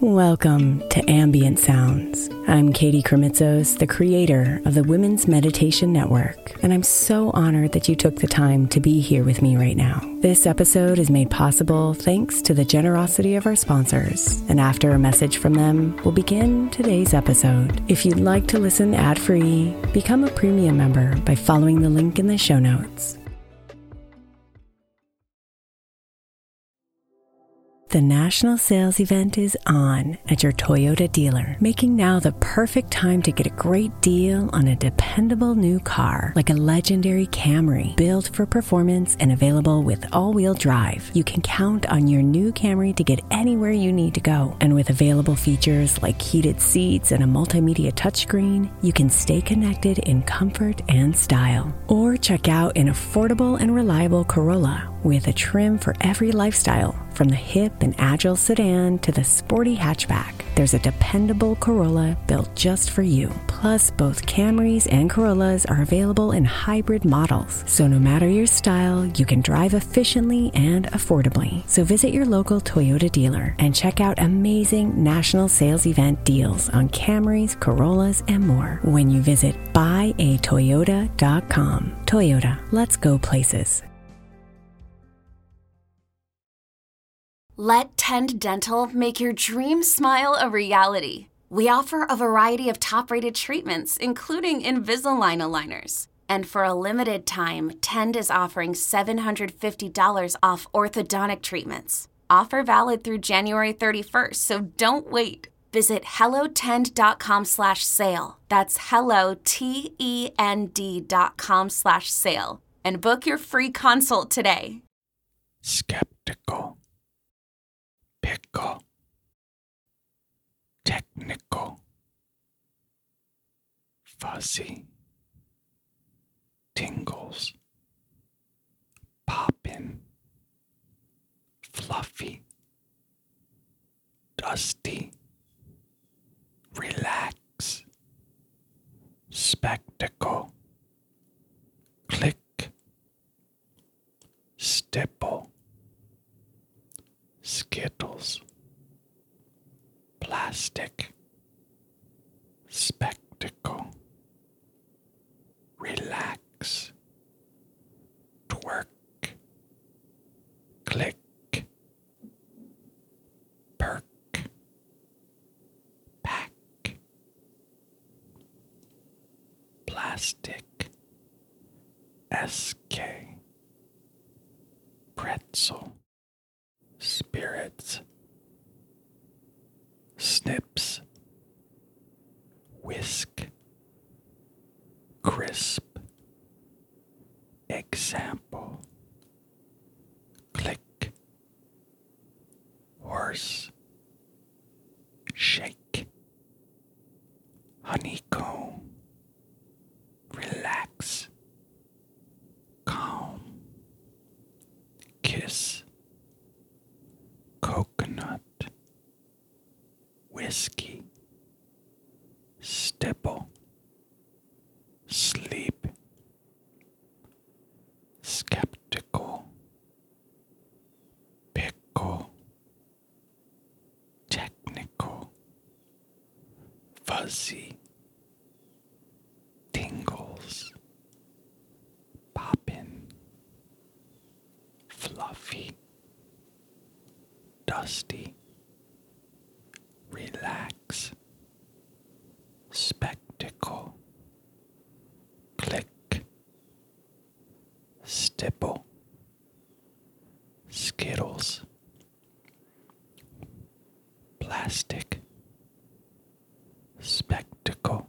Welcome to Ambient Sounds. I'm Katie Kremitzos, the creator of the Women's Meditation Network, and I'm so honored that you took the time to be here with me right now. This episode is made possible thanks to the generosity of our sponsors, and after a message from them, we'll begin today's episode. If you'd like to listen ad free, become a premium member by following the link in the show notes. The national sales event is on at your Toyota dealer, making now the perfect time to get a great deal on a dependable new car like a legendary Camry, built for performance and available with all-wheel drive. You can count on your new Camry to get anywhere you need to go, and with available features like heated seats and a multimedia touchscreen you can stay connected in comfort and style. Or check out an affordable and reliable Corolla with a trim for every lifestyle, from the hip and agile sedan to the sporty hatchback. There's a dependable Corolla built just for you. Plus, both Camrys and Corollas are available in hybrid models. So, no matter your style, you can drive efficiently and affordably. So, visit your local Toyota dealer and check out amazing national sales event deals on Camrys, Corollas, and more when you visit buyatoyota.com. Toyota, let's go places. Let Tend Dental make your dream smile a reality. We offer a variety of top rated treatments, including Invisalign aligners. And for a limited time, Tend is offering $750 off orthodontic treatments. Offer valid through January 31st, so don't wait. Visit hellotend.com slash sale. That's hello, T-E-N-D dot com slash sale. And book your free consult today. Skeptical. Pickle. Technical. Fuzzy tingles, poppin', fluffy, dusty, relax, spectacle, click, stipple, skittles, plastic, spectacle relax, twerk, click, perk, pack, plastic, SK, pretzel, spirits, snips, whisk, crisp, example, click, horse, shake, honeycomb, relax, calm, kiss, coconut, whiskey, stipple, sleep, skeptical, pickle, technical, fuzzy, tingles, poppin', fluffy, dusty, relax, spectacle, click, stipple, skittles, plastic. Spectacle,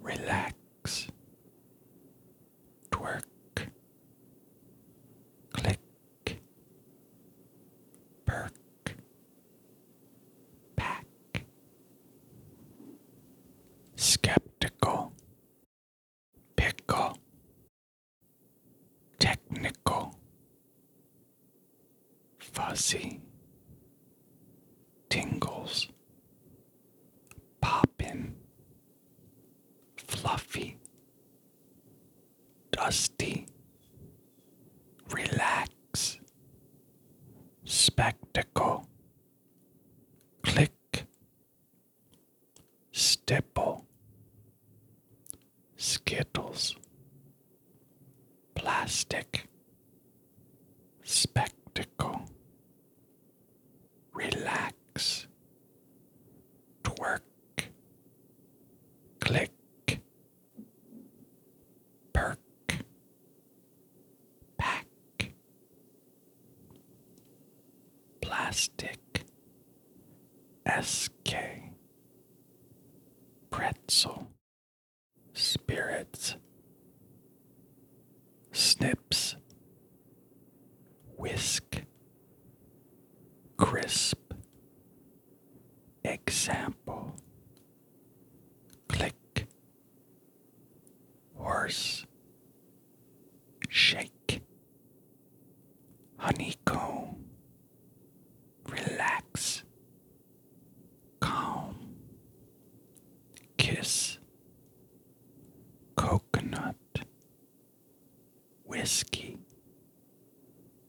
relax, twerk, click, perk, pack, skeptical, pickle, technical, fuzzy tingles poppin fluffy dusty relax spectacle click stipple skittles Plastic Spectacle Relax Twerk Click Perk Pack Plastic SK Pretzel spirits, snips, whisk, crisp, example, click, horse, shake, honeycomb, relax, calm, kiss, coconut, whiskey,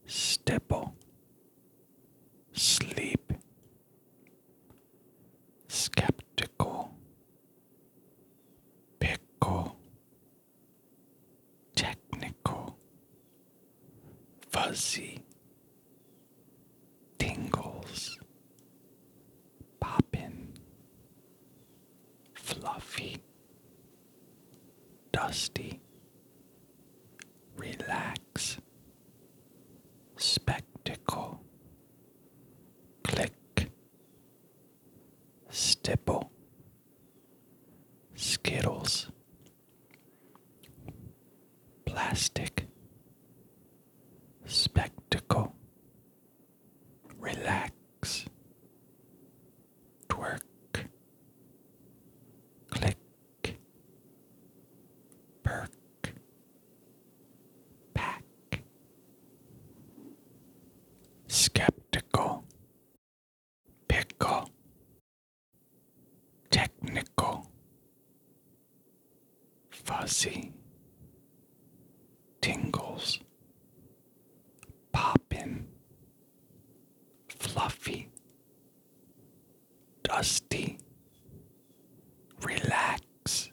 stipple, sleep, skeptical, pickle, technical, fuzzy tingles, poppin', fluffy, dusty, relax, spectacle, click, stipple, skittles. Plastic Spectacle Relax Twerk Click Perk Pack Skeptical Pickle Technical fuzzy tingles, poppin', fluffy, dusty, relax,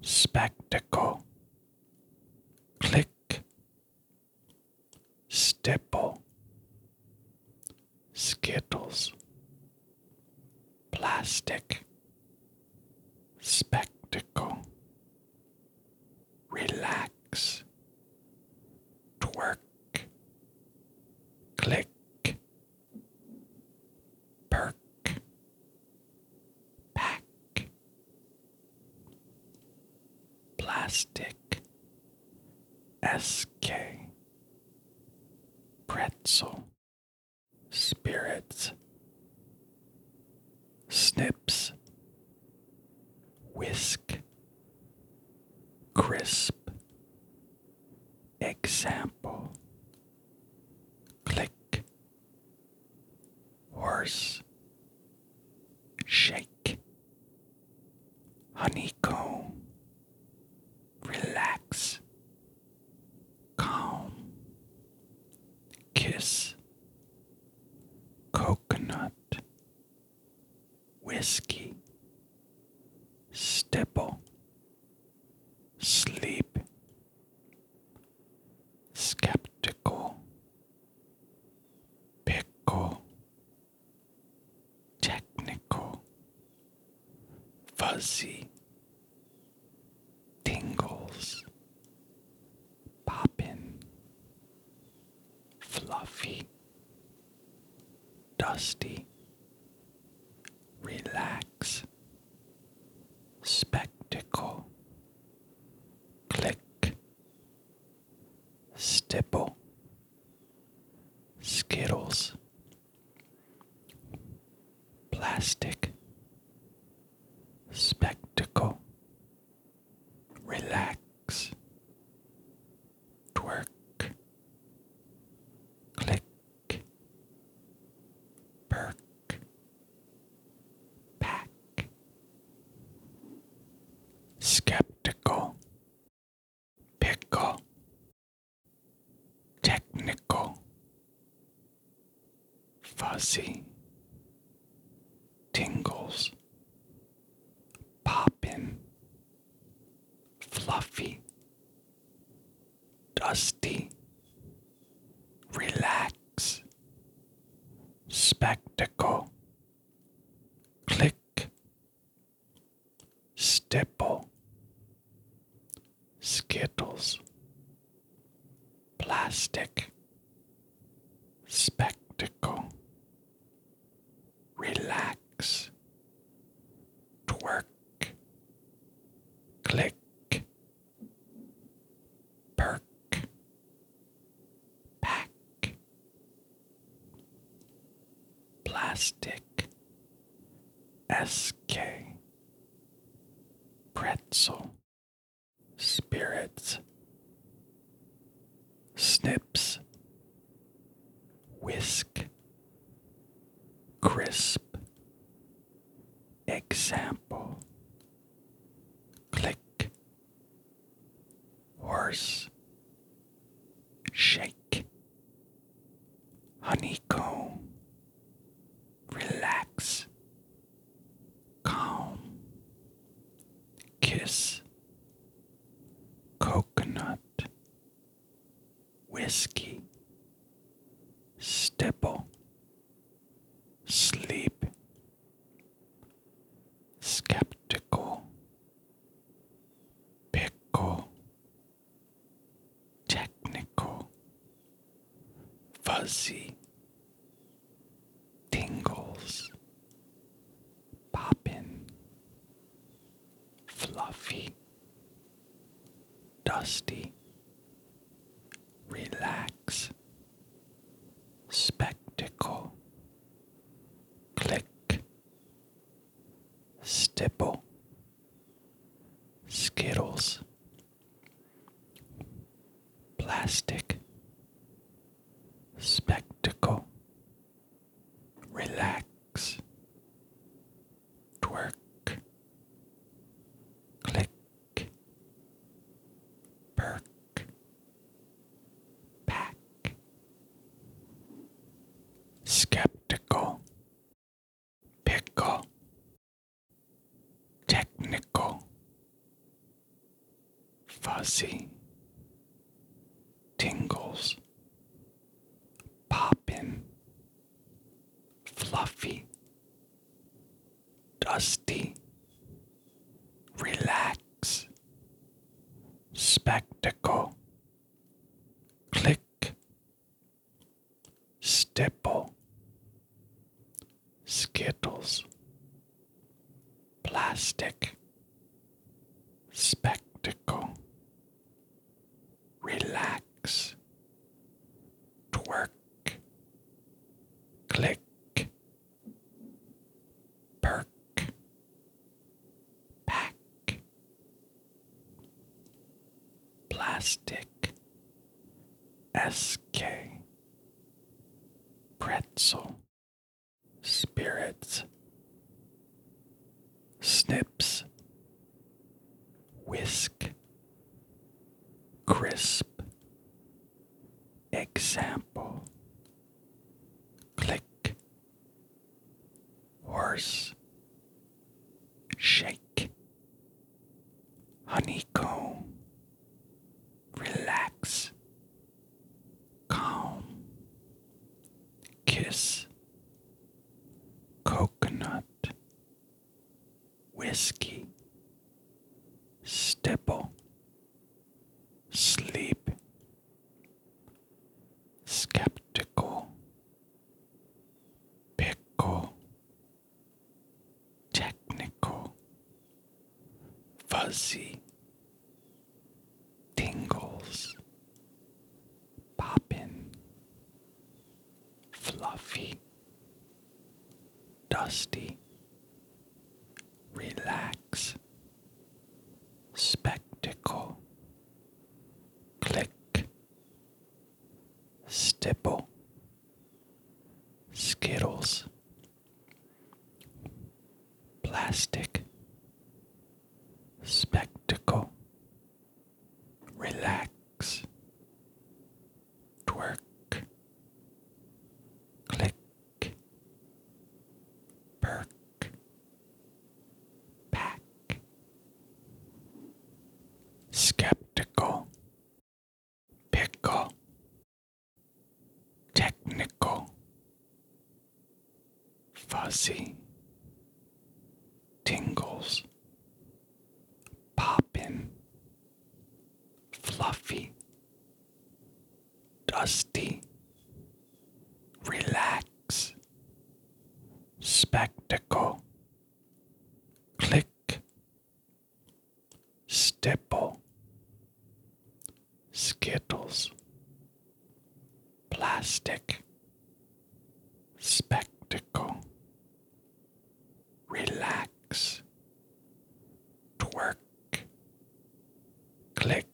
spectacle, click, stipple, Skittles, Plastic, Spectacle, Relax, Twerk, Click, Perk, Pack, Plastic, SK pretzel, spirits, snips, whisk, crisp, example, click, horse, shake, honeycomb relax, calm, kiss, coconut, whiskey, stipple, sleep, skeptical, pickle, technical, fuzzy, tingles, poppin', fluffy, dusty, relax, spectacle, click, stipple. Skittles, Plastic Spectacle Relax Twerk Click Perk Pack Skeptical pickle, technical, fuzzy, tingles, poppin, fluffy, dusty, relax, spectacle, click, Stipple, Skittles, Plastic, Spectacle, Relax, Twerk, Click. Perk, pack, Plastic SK Pretzel Spirits Snips Whisk Crisp Example Click Horse shake, honeycomb, relax, calm, kiss, coconut, whiskey, stipple, sleep, skeptical, pickle technical, fuzzy, tingles, poppin', fluffy, dusty, relax, spectacle, click, stipple. Skittles, Plastic, Spectacle, Relax, Twerk, Click, Perk, Pack, Skeptical pickle, technical, fuzzy, tingles, poppin, fluffy, dusty, relax, spectacle, click, Stipple, Skittles, Plastic, Spectacle, Relax, Twerk, Click, Perk, Pack, Plastic SK Pretzel Spirits Snips Whisk Crisp Example Click horse, shake, honeycomb, relax, calm, kiss, coconut, whiskey, stipple, sleep, skeptical, pickle, technical, fuzzy, tingles, poppin, fluffy, dusty, relax, spectacle, click, Stipple, Skittles, Plastic, Spectacle, Relax, Twerk, Click, Perk, Pack, skeptical, pickle, technical, fuzzy, tingles, poppin, fluffy, dusty, relax, spectacle click, stipple, skittles, plastic, spectacle, relax, twerk, click,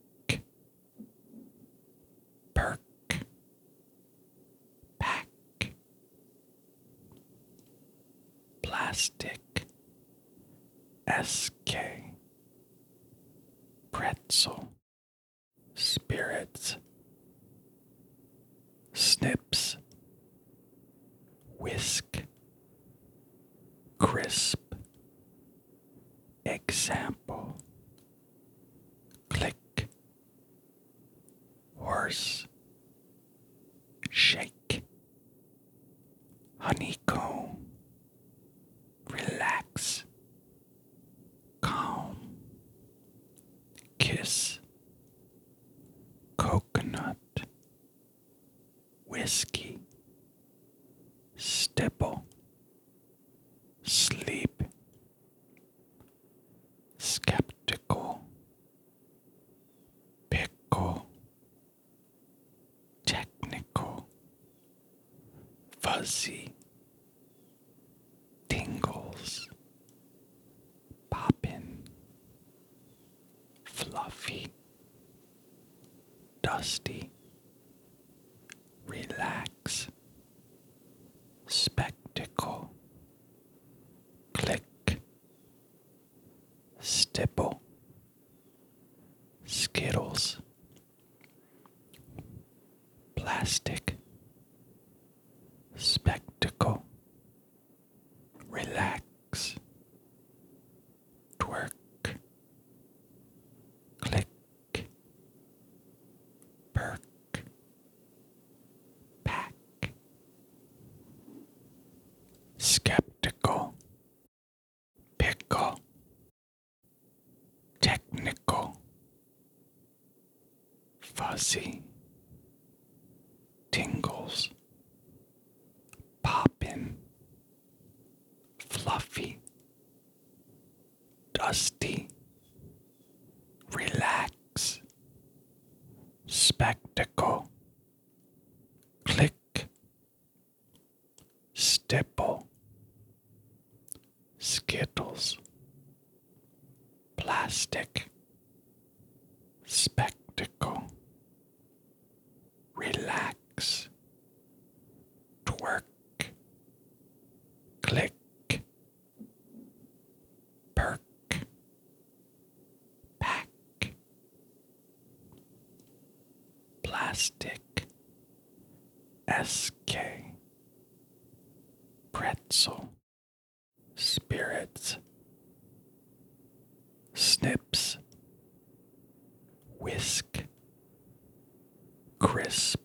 perk, Pack. Plastic. SK. Pretzel. Spirits. Snips. Whisk. Crisp. Example. Click horse, shake, honeycomb, relax, calm, kiss, coconut, whiskey, stipple, sleep skeptical, pickle, technical, fuzzy, tingles, poppin, fluffy, dusty, relax spectacle, click, stipple, skittles, plastic, spectacle, relax, twerk. Click, perk, back, skeptical, pickle, technical, fuzzy, tingles, poppin, fluffy, dusty, relax spectacle, click, stipple, skittles, plastic, spectacle, relax, twerk, click, Perk. Pack. Plastic. SK. Pretzel. Spirits. Snips. Whisk. Crisp.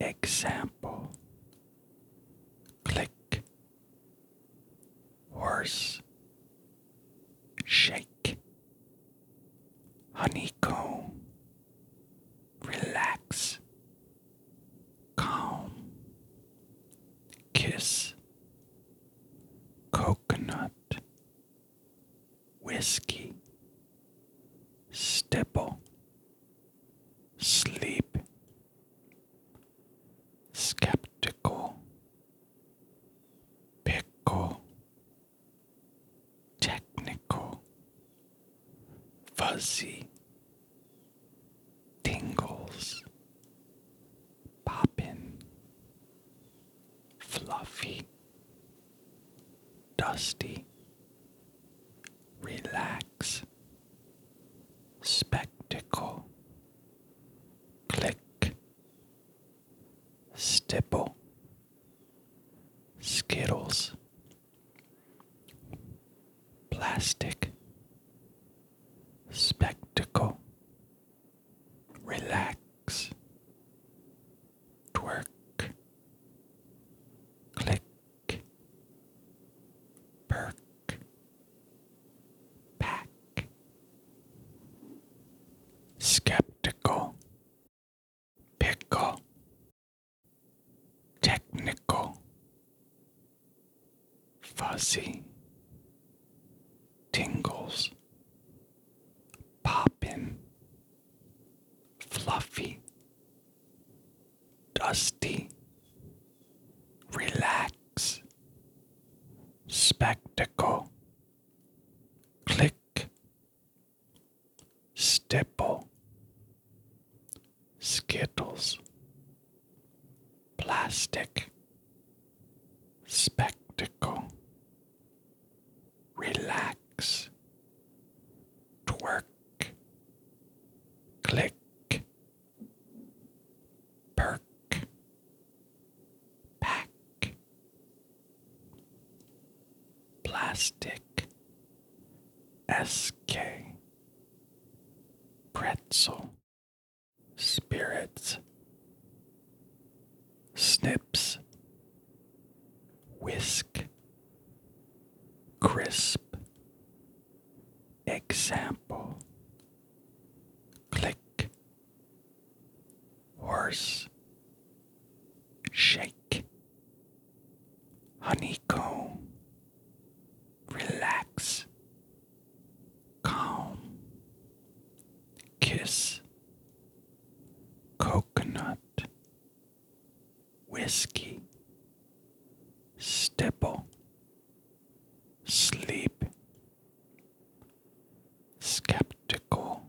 Example Click Horse Shake Honeycomb Relax Calm Kiss Coconut Whiskey Stipple Sleep skeptical, pickle, technical, fuzzy, tingles, poppin, fluffy, dusty, relax spectacle, click, stipple, skittles, plastic, spectacle, relax, twerk, click perk, pack, skeptical, pickle, technical, fuzzy, tingles, poppin', fluffy. Dusty, relax, spectacle, click, stipple, skittles, plastic, spectacle, relax, twerk, click. Perk. Pack. Plastic. SK. Pretzel. Spirits. Snips. Whisk. Crisp. Example Click Horse Shake Honeycomb Relax Calm Kiss Coconut whiskey, stipple, sleep, skeptical,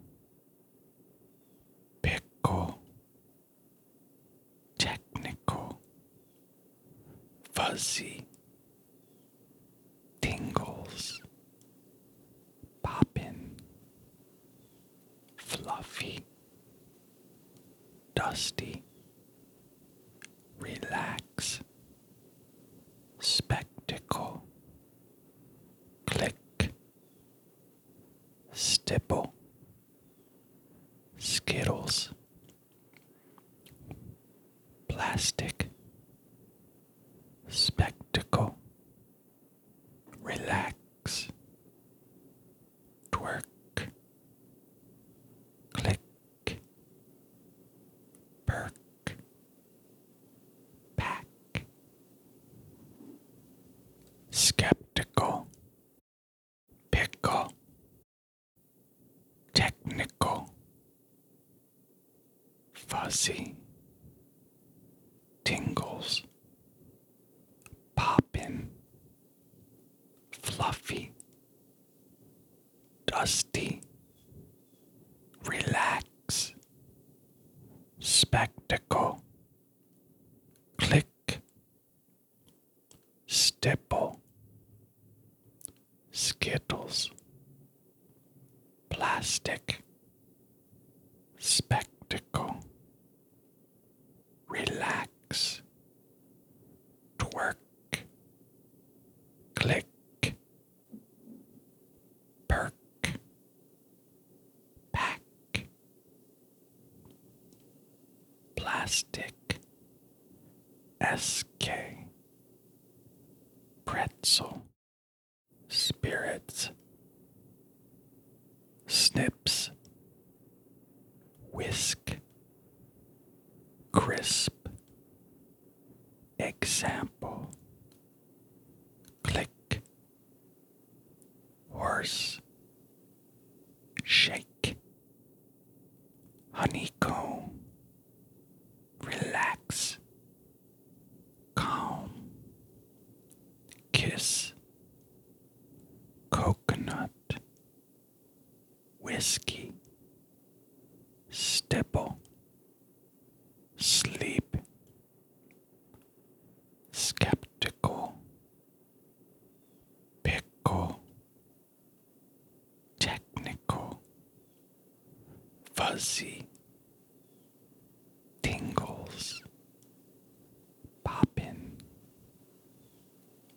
pickle, technical, fuzzy, tingles, poppin, fluffy. Dusty, relax, spectacle, click, stipple, skittles, plastic, spectacle, relax, twerk, click, perk, pack, skeptical, pickle, technical, fuzzy, tingles, poppin' fluffy, dusty, relax, spectacle, click, stipple, skittles, plastic, spectacle relax, twerk, click, perk, pack, plastic, SK, pretzel, spirits, snips, Whisk. Crisp. Example. Click. Horse. Shake. Honeycomb. Relax. Calm. Kiss. Coconut whiskey, stipple, sleep, skeptical, pickle, technical, fuzzy, tingles, poppin,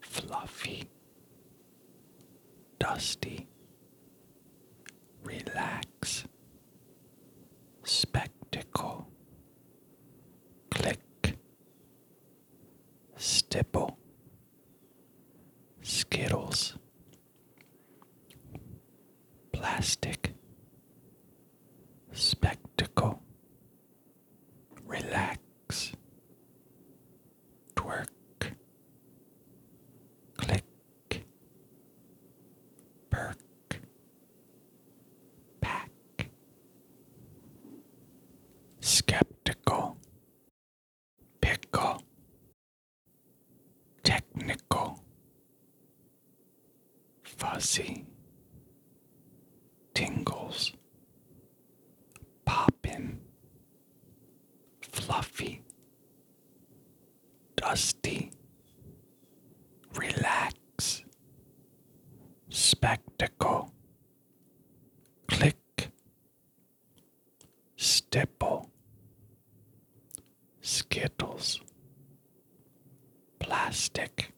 fluffy. Dusty. Relax. Spectacle. Click. Stipple. Skittles. Plastic. Spectacle. Relax twerk, click, perk, pack, skeptical, pickle, technical, fuzzy, tingles. Poppin', Fluffy, Dusty, Relax, Spectacle, Click, Stipple, Skittles, Plastic,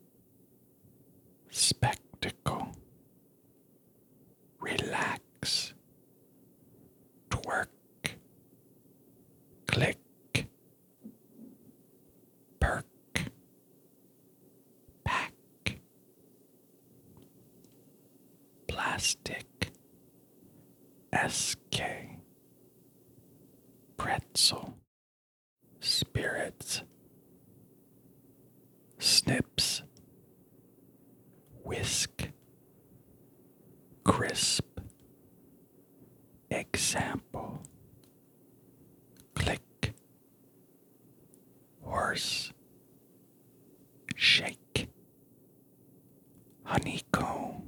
Spectacle relax, twerk, click, perk, pack, plastic, SK, pretzel, spirits, snips, whisk, crisp, example, click, horse, shake, honeycomb,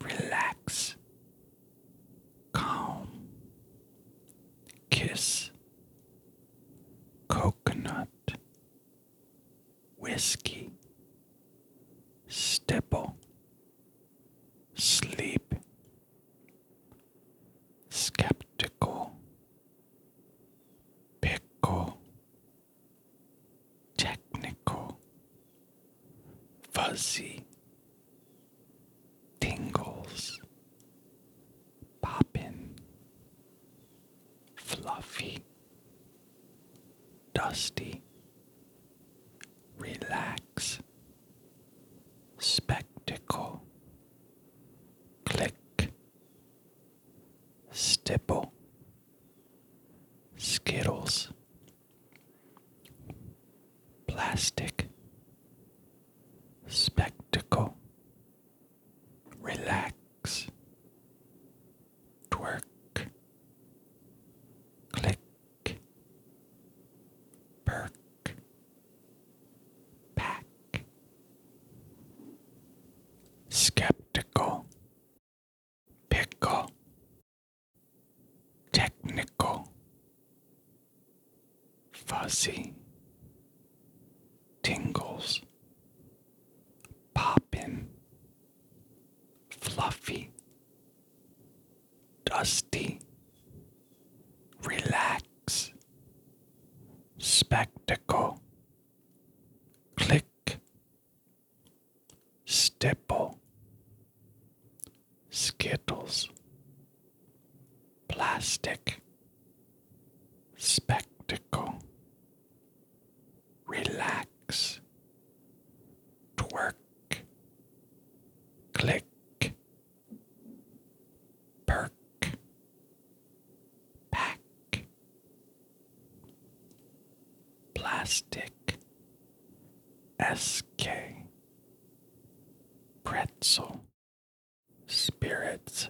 relax, calm, kiss coconut, whiskey, stipple, sleep, skeptical, pickle, technical, fuzzy, tingles, Popping, fluffy, dusty, relax, spectacle, click, stipple, skittles, plastic. Spectacle, relax, twerk, click, perk, pack, skeptical, pickle, technical, fuzzy tingles, poppin', fluffy, dusty, relax, spectacle, click, stipple, skittles, plastic spectacle, relax, twerk, click, perk, pack, plastic, SK, pretzel spirits,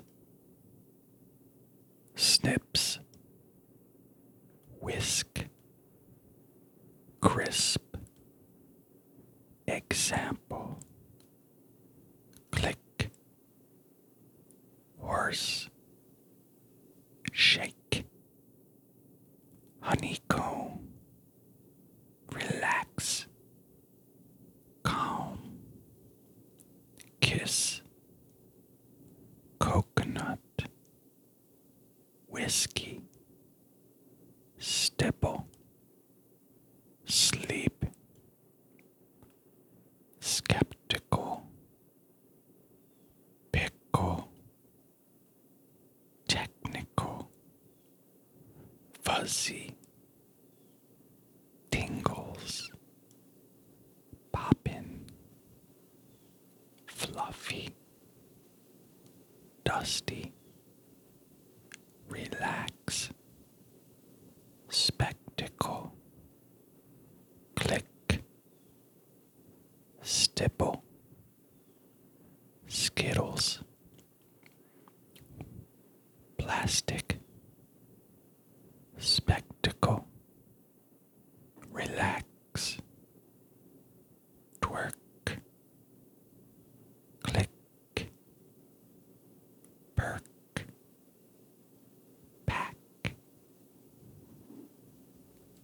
snips, whisk, crisp, example, click, horse, shake, honeycomb, relax, calm, kiss, coconut, whiskey, stipple, sleep, skeptical, pickle, technical, fuzzy tingles, poppin', fluffy, dusty, relax, spectacle, click, stipple, skittles. Plastic spectacle, relax, twerk, click, perk, pack,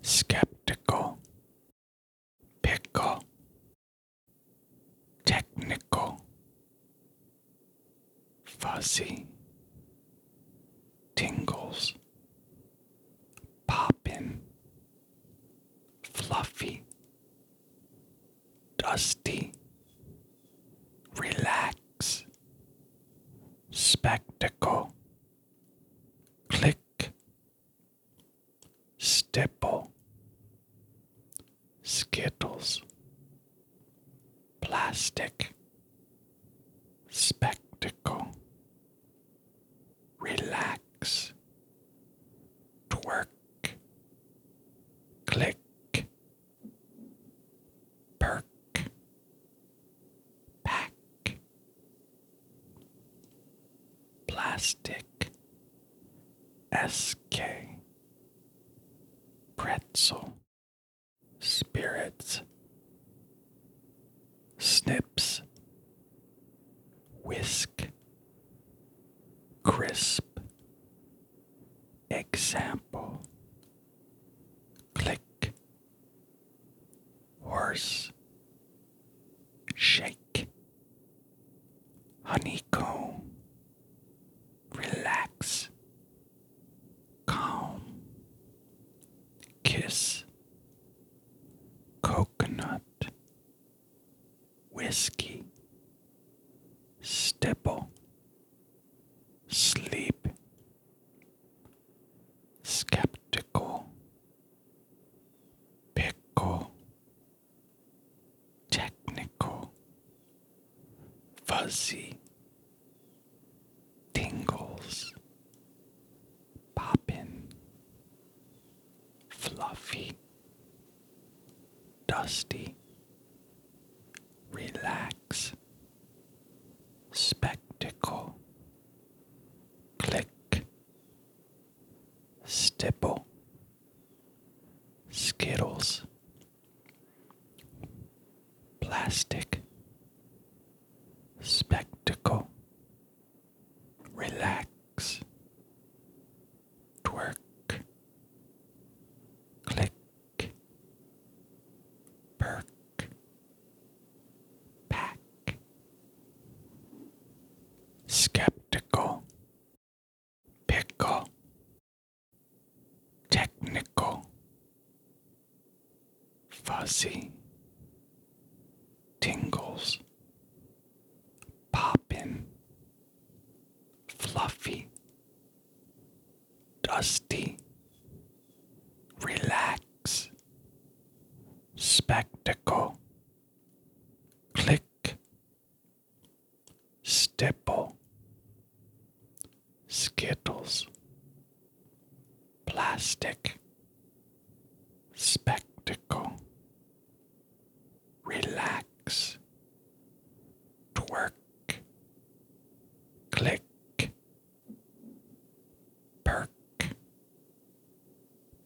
skeptical, pickle, technical, fuzzy tingles, poppin', fluffy, dusty, relax, spectacle, click, stipple, skittles. Plastic Spectacle Relax Twerk Click Perk Pack Plastic SK Pretzel spirits, snips, whisk, crisp, example, click, horse, shake, honeycomb relax, calm, kiss, coconut, whiskey, stipple, sleep, skeptical, pickle, technical fuzzy tingles, poppin', fluffy, dusty, relax, spectacle, click, stipple, skittles. Plastic Spectacle Relax Twerk Click Perk Pack Skeptical Pickle technical, fuzzy, tingles, poppin', fluffy, dusty, relax, spectacle, click, stipple, Skittles, Plastic, Spectacle, Relax, Twerk, Click, Perk,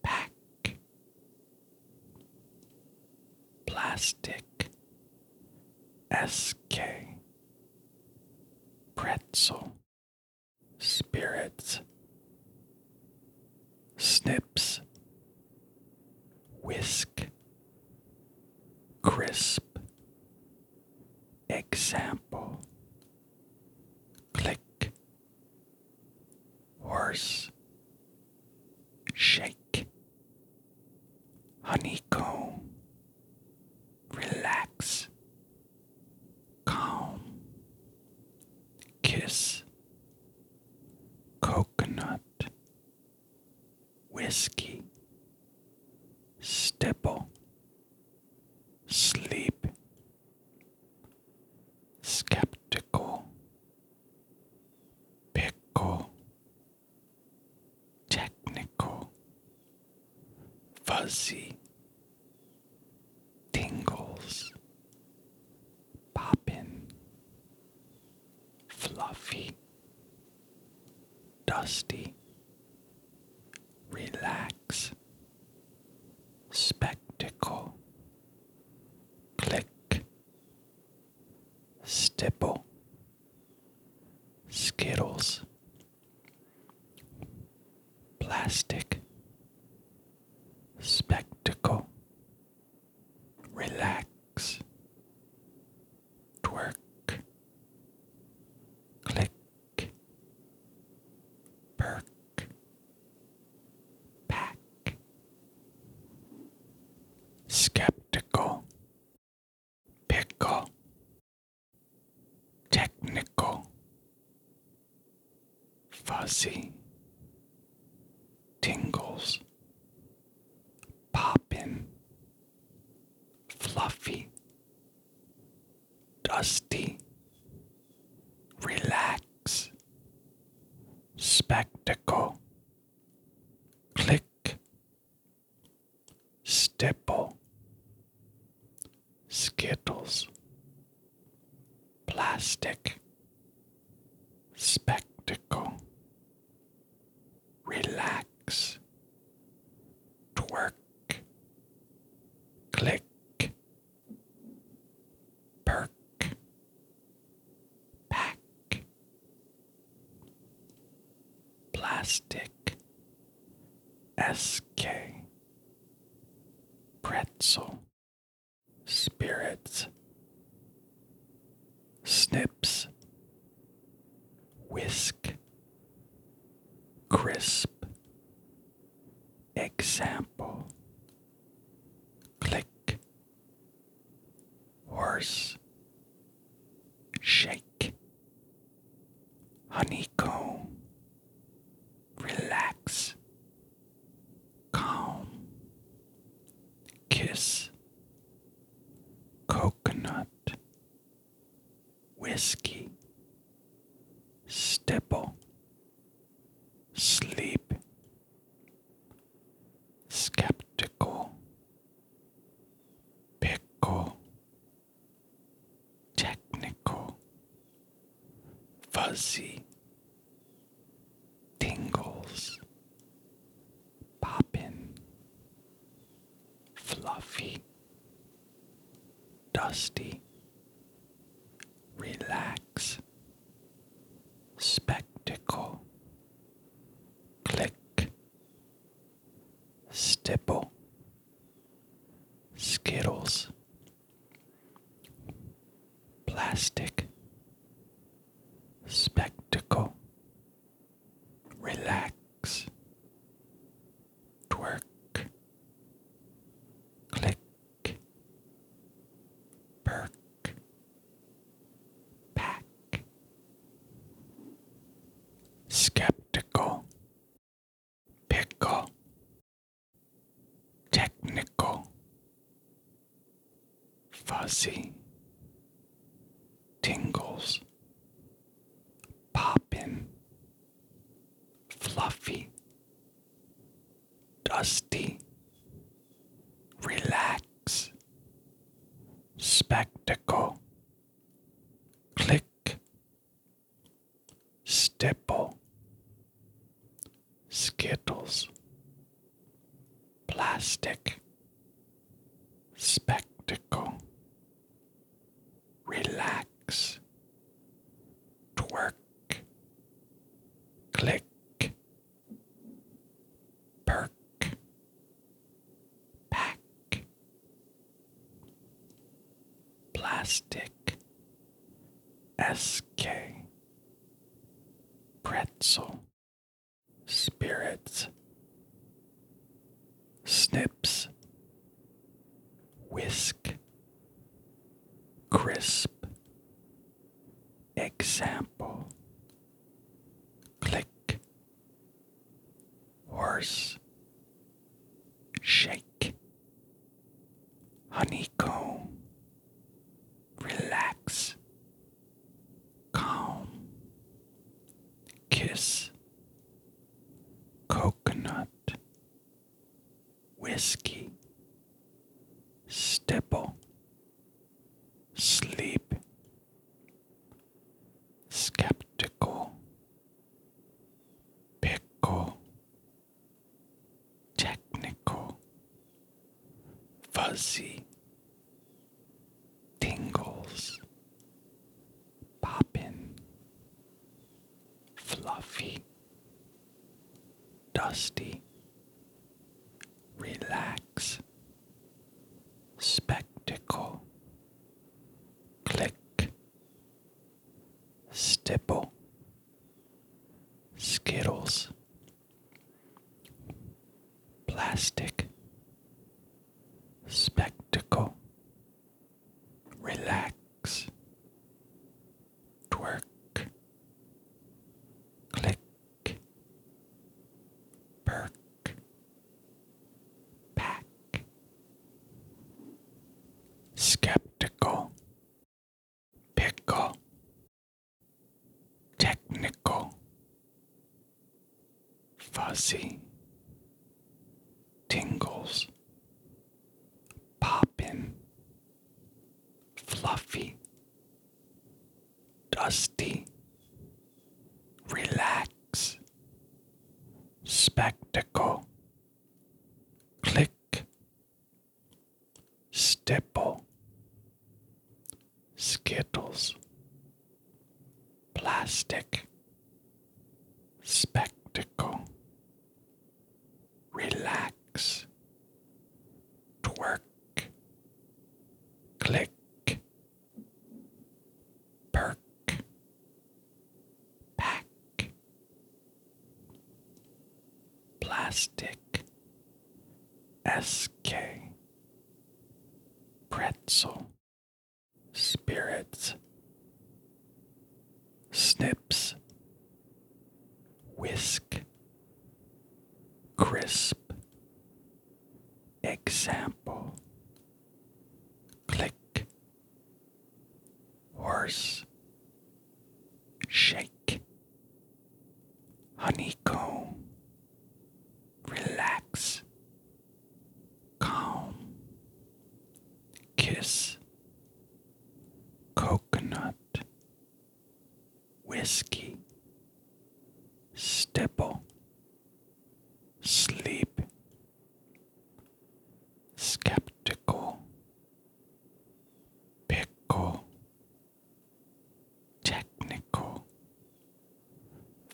Pack, Plastic, SK pretzel, spirits, snips, whisk, crisp, example, click, horse, shake, honeycomb, relax, calm, kiss, coconut, whiskey, Steeple. sleep, skeptical, pickle technical, fuzzy, tingles, poppin', fluffy, dusty, relax, spectacle, click, stipple. Skittles, Plastic, Spectacle, Relax, Twerk, Click, Perk, Pack, Skeptical pickle, technical, fuzzy, tingles, poppin, fluffy, dusty, relax, spectacle, click, Stipple, Skittles, Plastic, Spectacle, Relax, Twerk, Click, Perk, Pack, Plastic SK Pretzel Spirits Snips Whisk Crisp Example Click Horse shake, honeycomb, relax, calm, kiss, coconut, whiskey, stipple, sleep, skeptical, pickle technical, fuzzy tingles, poppin', fluffy, dusty, relax, spectacle, click, stipple. Skittles, plastic, spectacle, relax, twerk, click, perk, pack, skeptical pickle, technical, fuzzy, tingles, poppin, fluffy, dusty, relax, spectacle, click stick, stipple, skittles, plastic, spectacle, relax, twerk, click, perk, pack, plastic, SK, pretzel, spirits, snips, whisk, crisp, example, click horse, shake, honeycomb, relax, calm, kiss, coconut, whiskey, stipple, sleep, skeptical, pickle, technical, fuzzy, tingles, poppin, fluffy, dusty, relax, spectacle, click. Stipple, Skittles, Plastic, Spectacle, Relax, Twerk, Click, Perk. Pack. Skeptical. Pickle. Technical. Fuzzy. Tingles. Poppin. Fluffy. Dusty. Relax spectacle, click, stipple, skittles, plastic, spectacle, relax, twerk, click, perk, pack, plastic, SK, pretzel, spirits, snips, whisk, crisp, example, click horse, shake, honeycomb, relax, calm, kiss, coconut, whiskey, stipple, sleep, skeptical, pickle, technical,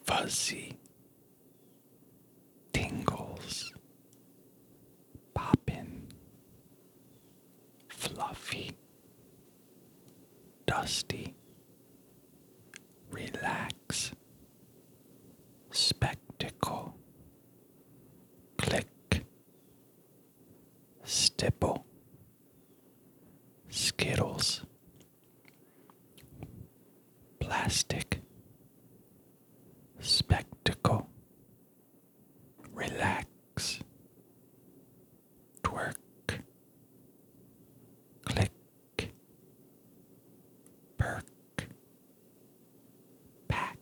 fuzzy, tingles, poppin, fluffy, dusty, relax. Relax. Spectacle. Click. Stipple. Skittles. Plastic. Spectacle. Relax. Twerk. Click perk, pack,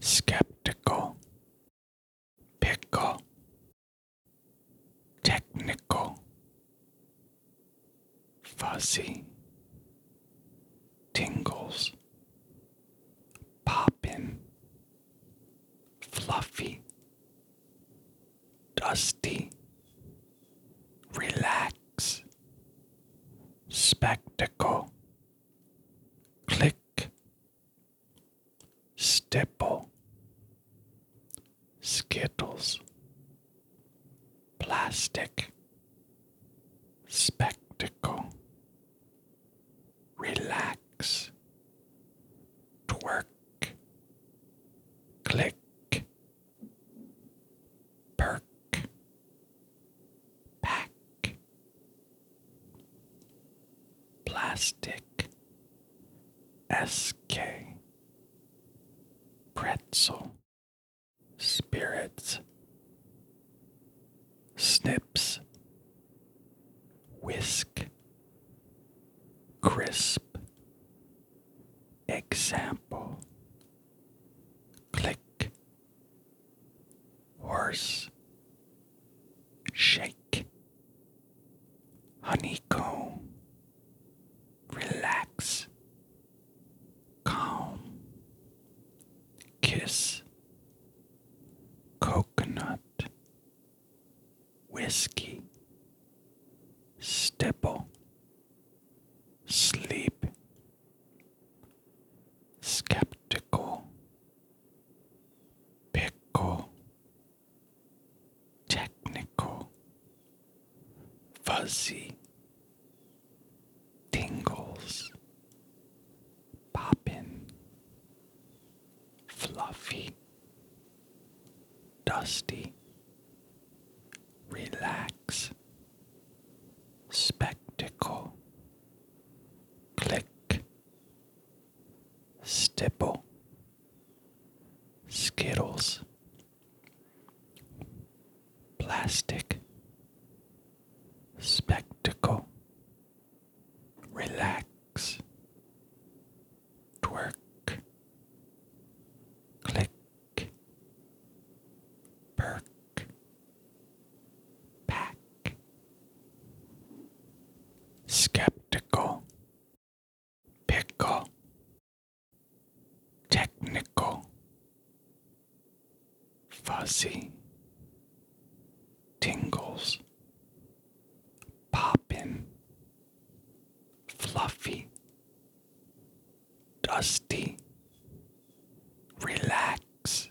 skeptical, pickle, technical, fuzzy, tingles, poppin', fluffy, Dusty, relax, spectacle, click, stipple, skittles, plastic, spectacle, relax, twerk, click. Perk. Pack. Plastic. SK. Pretzel. Spirits. Snips. Whisk. Crisp. Example Click Horse Shake Honeycomb Relax Calm Kiss Coconut Whiskey Stipple sleep, skeptical, pickle, technical, fuzzy, tingles, poppin, fluffy, dusty, relax, spectacle, click, stipple, skittles, plastic, spectacle, relax, twerk, click perk, pack, skeptical, pickle, technical, fuzzy, tingles, poppin', fluffy. Dusty, relax,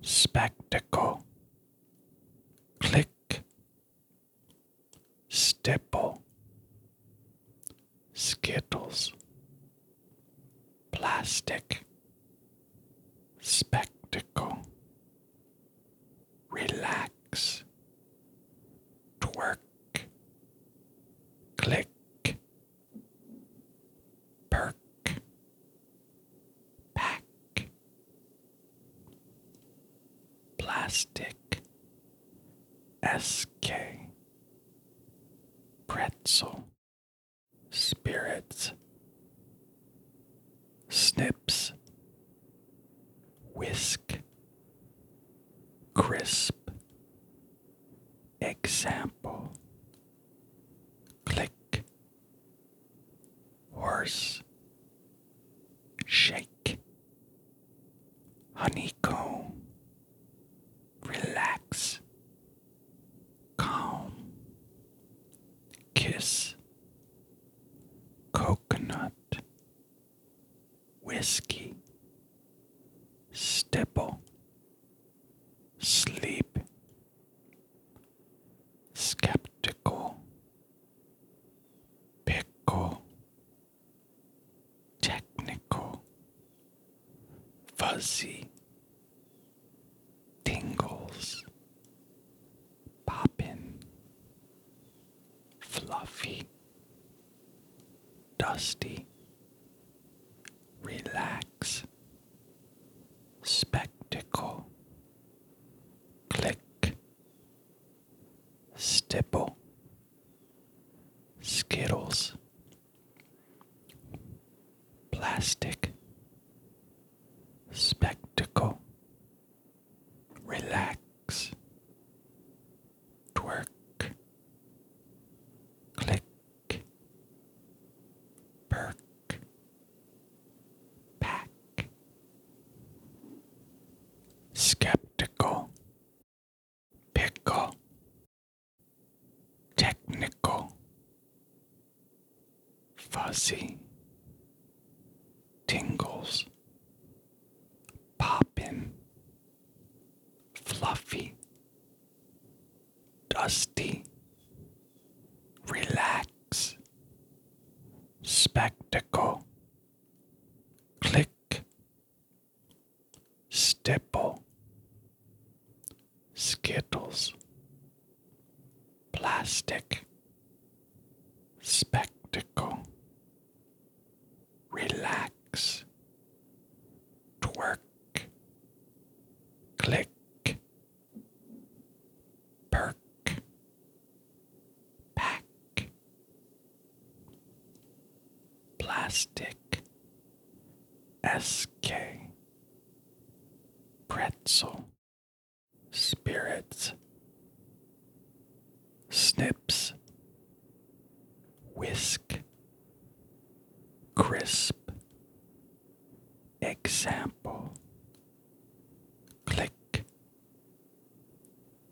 spectacle, click, stipple, skittles, plastic, spectacle, relax, twerk click, perk, pack, plastic, SK, pretzel, spirits, snips, whisk, crisp example click horse shake honeycomb relax calm kiss coconut whiskey, stipple, sleep, skeptical, pickle, technical, fuzzy, tingles, poppin', fluffy. Dusty, relax, spectacle, click, stipple, skittles, plastic, spectacle, relax, twerk, click, perk, pack, skeptical, pickle, technical, fuzzy, tingles poppin', fluffy, dusty, relax, spectacle, click, stipple, skittles, plastic, spectacle relax, twerk, click, perk, pack, plastic, SK, pretzel, spirits, snips, whisk, crisp, example, click,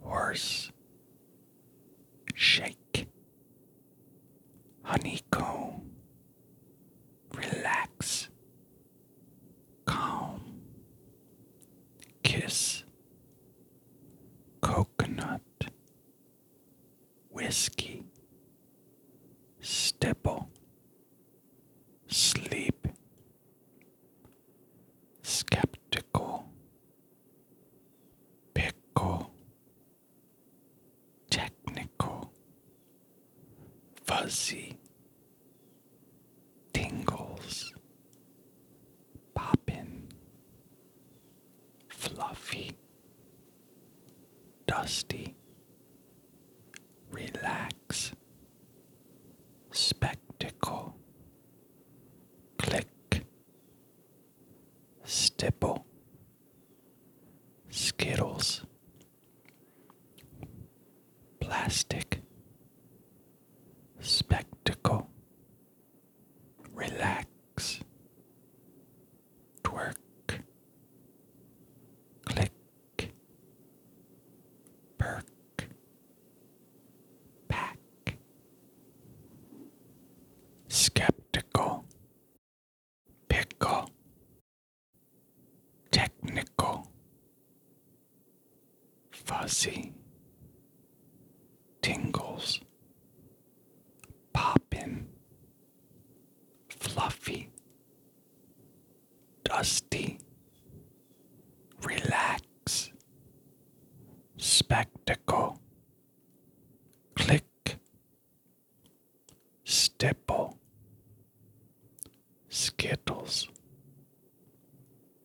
horse, shake, honeycomb, relax, calm, kiss, coconut, whiskey, stipple, sleep, skeptical, pickle, technical, fuzzy, tingles, poppin', fluffy, dusty, relax, spectacle, click, stipple, skittles, plastic, spectacle relax, twerk, click, perk, pack, skeptical, pickle, technical, fuzzy, tingles poppin', fluffy, dusty, relax, spectacle, click, stipple, skittles,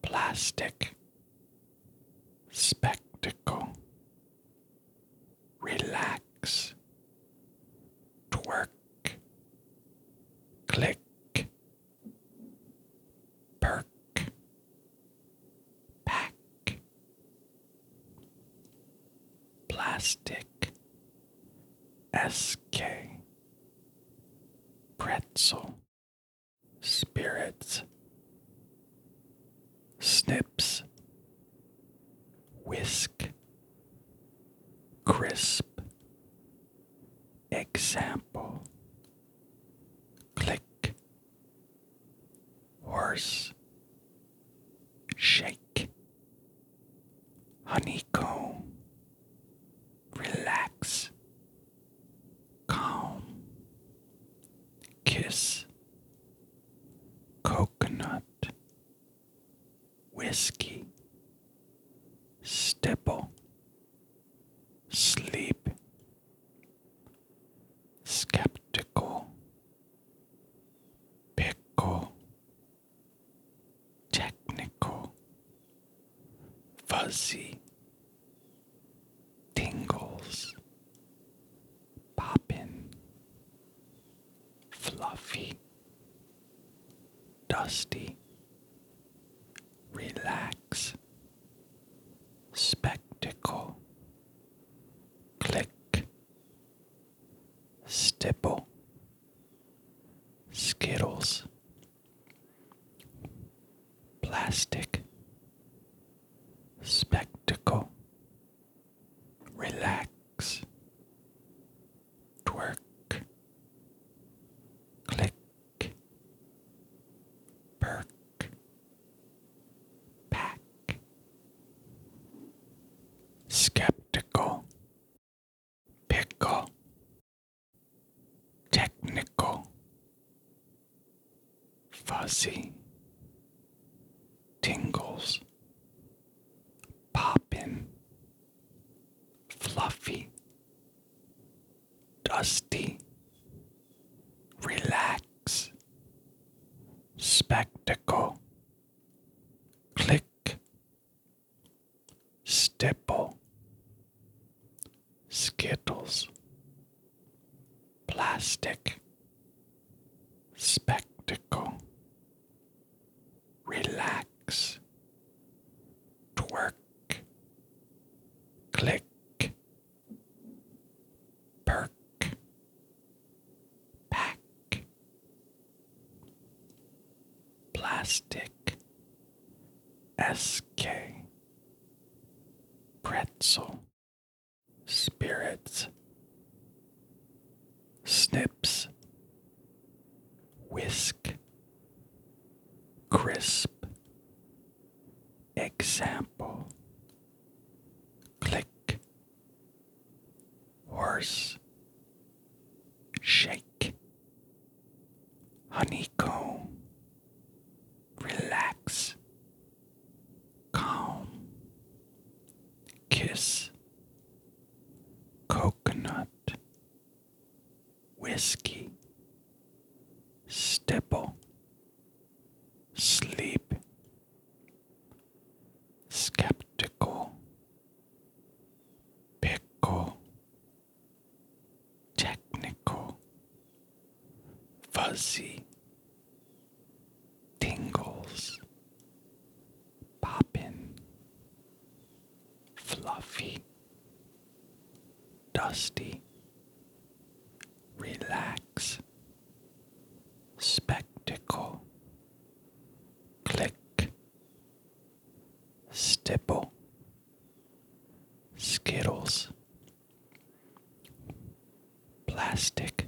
plastic, spectacle relax, twerk, click, perk, pack, plastic, SK, pretzel, spirits, snips, whisk, crisp, example, click, horse, shake, honeycomb, relax, calm, kiss, coconut, whiskey, stipple, sleep, skeptical, pickle, technical, fuzzy, tingles, poppin', fluffy, dusty, relax, spectacle, click, stipple, skittles. Plastic spectacle, relax, twerk, click, perk, pack, skeptical, pickle, technical, fuzzy tingles, poppin', fluffy, dusty, relax, spectacle, click, stipple, skittles. Plastic Spectacle Relax Twerk Click Perk Pack Plastic SK Pretzel spirits, snips, whisk, crisp, example, click, horse, shake, honeycomb, relax calm, kiss, coconut, whiskey, stipple, sleep, skeptical, pickle, technical, fuzzy tingles, poppin', fluffy, dusty, relax, spectacle, click, stipple, skittles. Plastic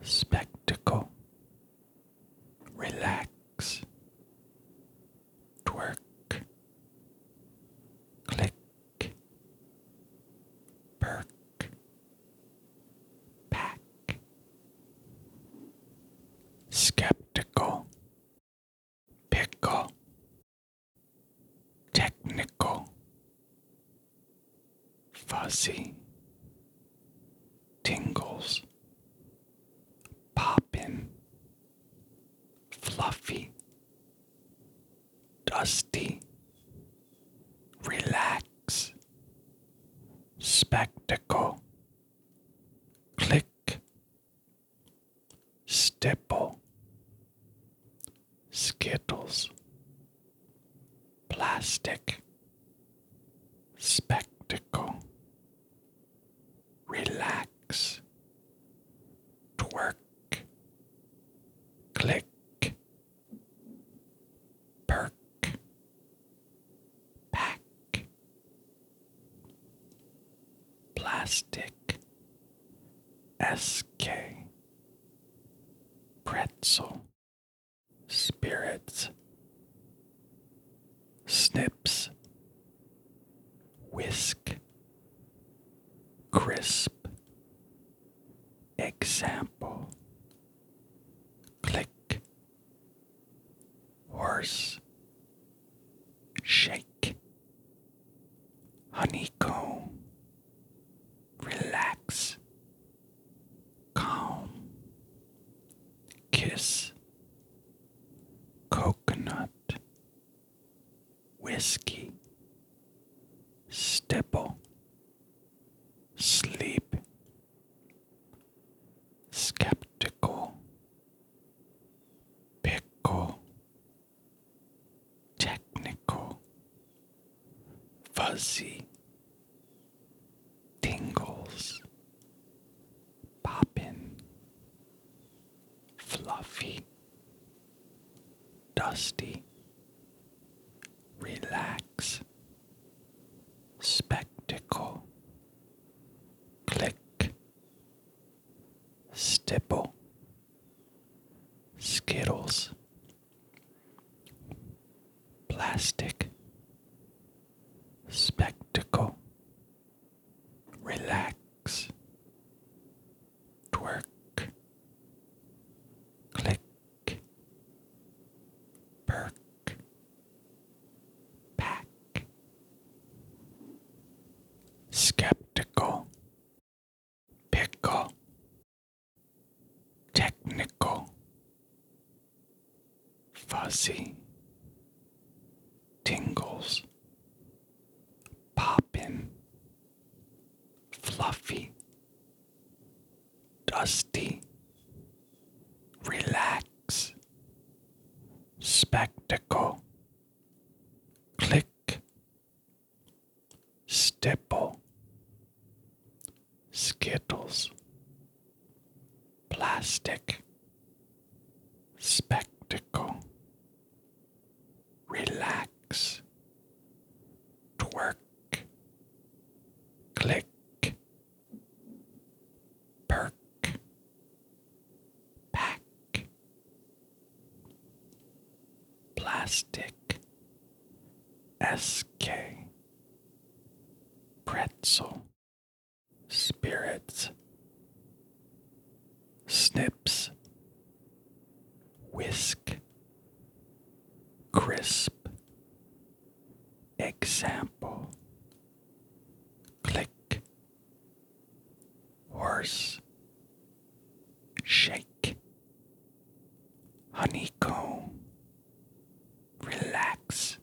Spectacle Relax Twerk Click Perk Pack Skeptical Pickle technical, fuzzy, tingles, poppin', fluffy, dusty, relax, spectacle, click, stipple, Skittles, Plastic, Spectacle, Relax, Twerk, Click, Perk, Pack, Plastic, SK pretzel, spirits, snips, whisk, crisp, example, click, horse, shake, honeycomb relax, calm, kiss, coconut, whiskey, stipple, sleep, skeptical, pickle, technical fuzzy tingles, poppin', fluffy, dusty, relax, spectacle, click, stipple, skittles. Plastic Spectacle Relax Twerk Click Perk Pack Skeptical pickle, technical, fuzzy, tingles, poppin, fluffy, dusty, relax, spectacle, click, Stipple, Skittles, Plastic, Spectacle, Relax, Twerk, Click. Perk, pack, Plastic SK Pretzel Spirits Snips Whisk Crisp Example Click Horse Shake honeycomb, relax,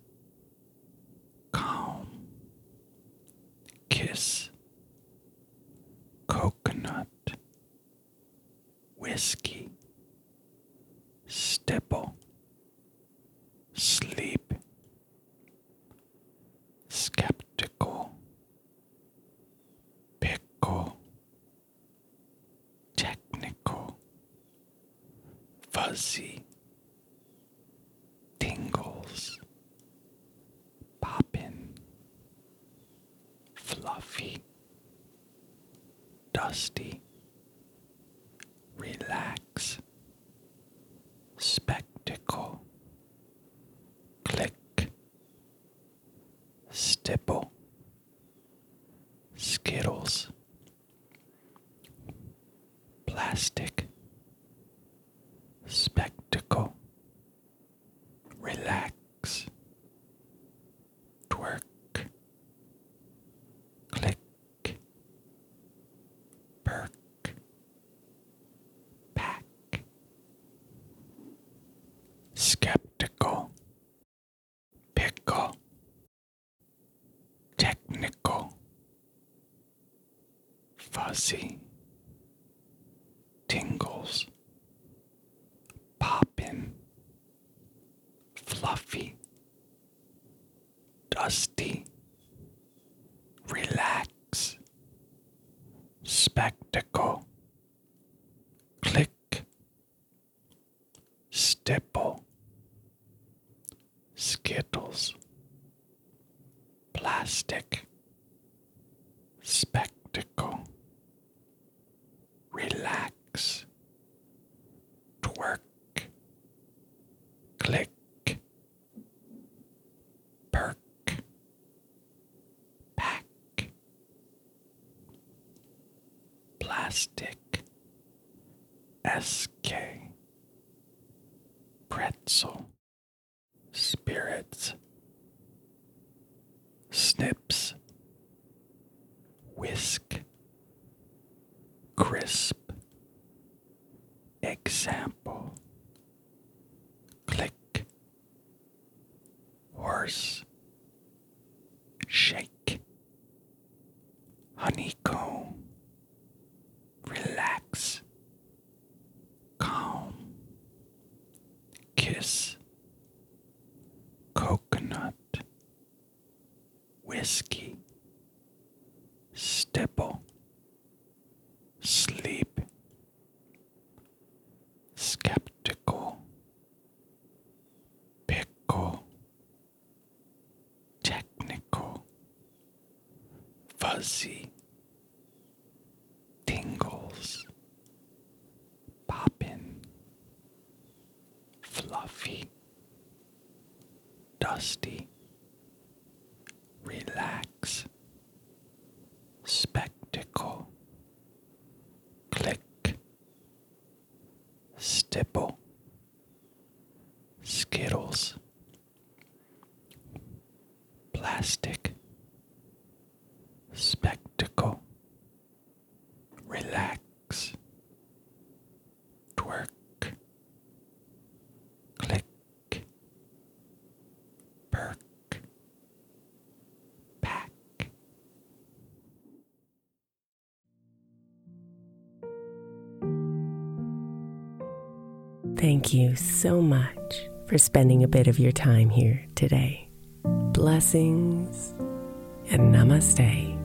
calm, kiss, coconut, whiskey, stipple, sleep, skeptical, pickle technical, fuzzy, tingles, poppin', fluffy, dusty, relax, spectacle, click, Stipple, Skittles, Plastic, Spectacle, Relax, Twerk, Click, Perk, Pack, Skeptical. Pickle. Technical. Fuzzy. Tingles. Poppin. Fluffy. Dusty. Relax. Spectacle. Click. Stipple, Skittles, Plastic, Spectacle, Relax, Twerk, Click. Perk, pack, Plastic SK Pretzel Spirits Snips Whisk Crisp Example Click horse, shake, honeycomb, relax, calm, kiss, coconut, whiskey, Steeple. sleep, skeptical, Pickle. Technical. Fuzzy. Tingles. Poppin. Fluffy. Dusty. Relax. Spectacle. Click. Stipple, Skittles, Plastic, Spectacle, Relax, Twerk, Click, Perk. Thank you so much for spending a bit of your time here today. Blessings and namaste.